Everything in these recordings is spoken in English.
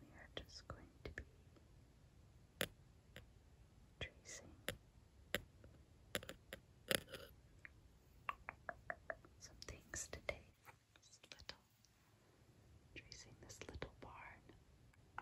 We are just going to be tracing some things today. This little tracing this little barn.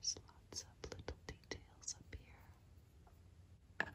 There's lots of little details up here.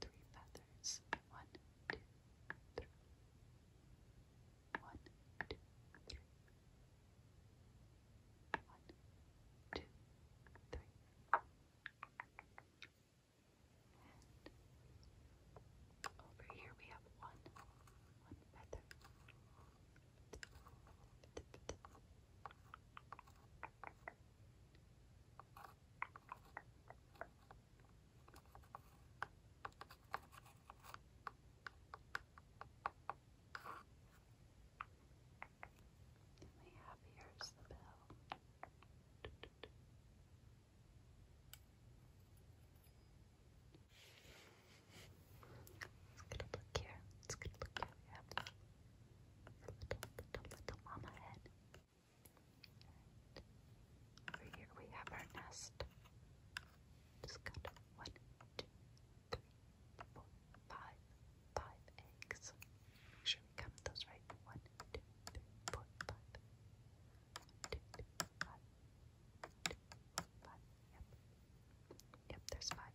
three feathers. One, two, three. One, two, three. One, two, three. over here we have one, one feather. And we have here's the bell. Let's get look here. Let's get look here. We have the little, little, little mama head over here we have our nest. Just got one, two, three, four, five, five eggs. Make sure we count those right. One, two, three, four, five. One, two, three, Yep. Yep, there's five.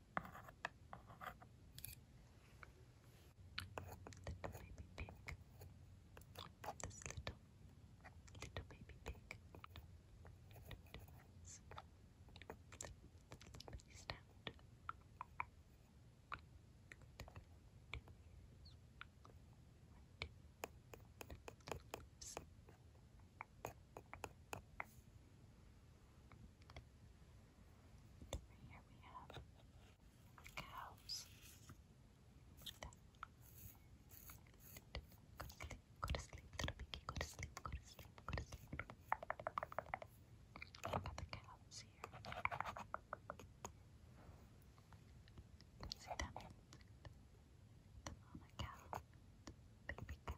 Little baby pig. This little, little baby pig. It's little stand. Two here we have cows. Go to sleep, little piggy. Go to sleep, go to sleep, go to sleep. What about the cows here? See them? The mama cow, baby cow,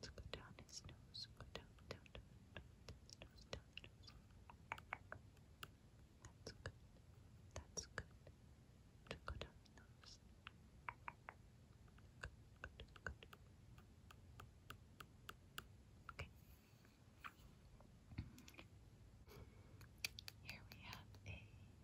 Let's go down his nose. Go down, down, down, down, down, nose, down, nose. That's good. That's good. To go down the nose. Good, good, good. Okay. Here we have a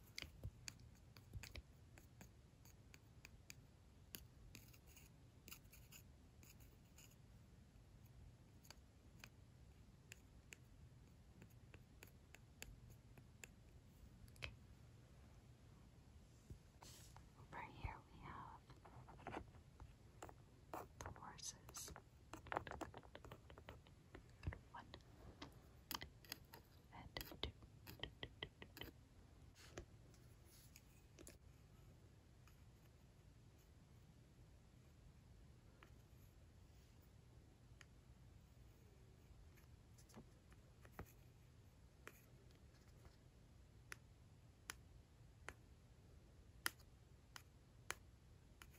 Over here we have the horses and two.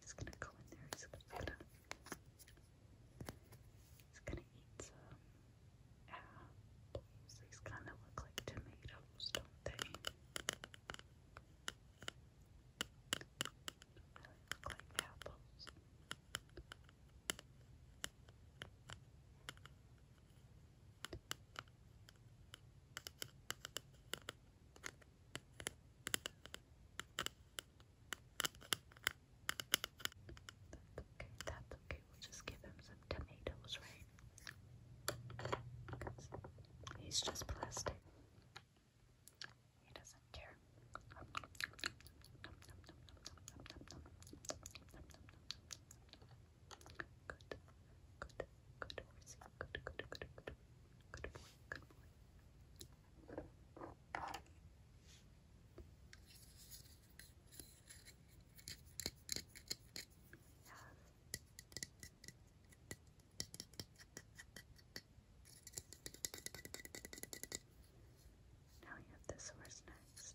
He's gonna go in there. He's gonna, eat some apples. These kind of look like tomatoes, they? really look like apples okay, that's okay. We'll just give him some tomatoes, right? He's just plastic. He doesn't care. Good, good, good horse. Good, good, good, good, good, good boy, good boy. Now you have this horse next.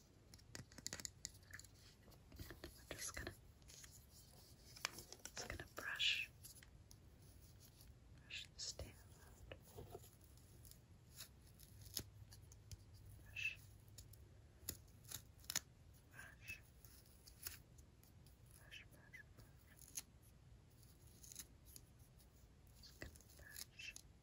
I'm just gonna just gonna brush brush the stem out. Brush brush brush brush brush. brush.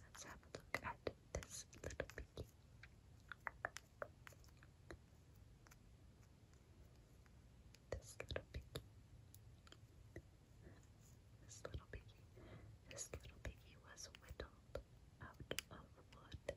Let's have a look at this little piggy. This little piggy. This little piggy. This little piggy was whittled out of wood.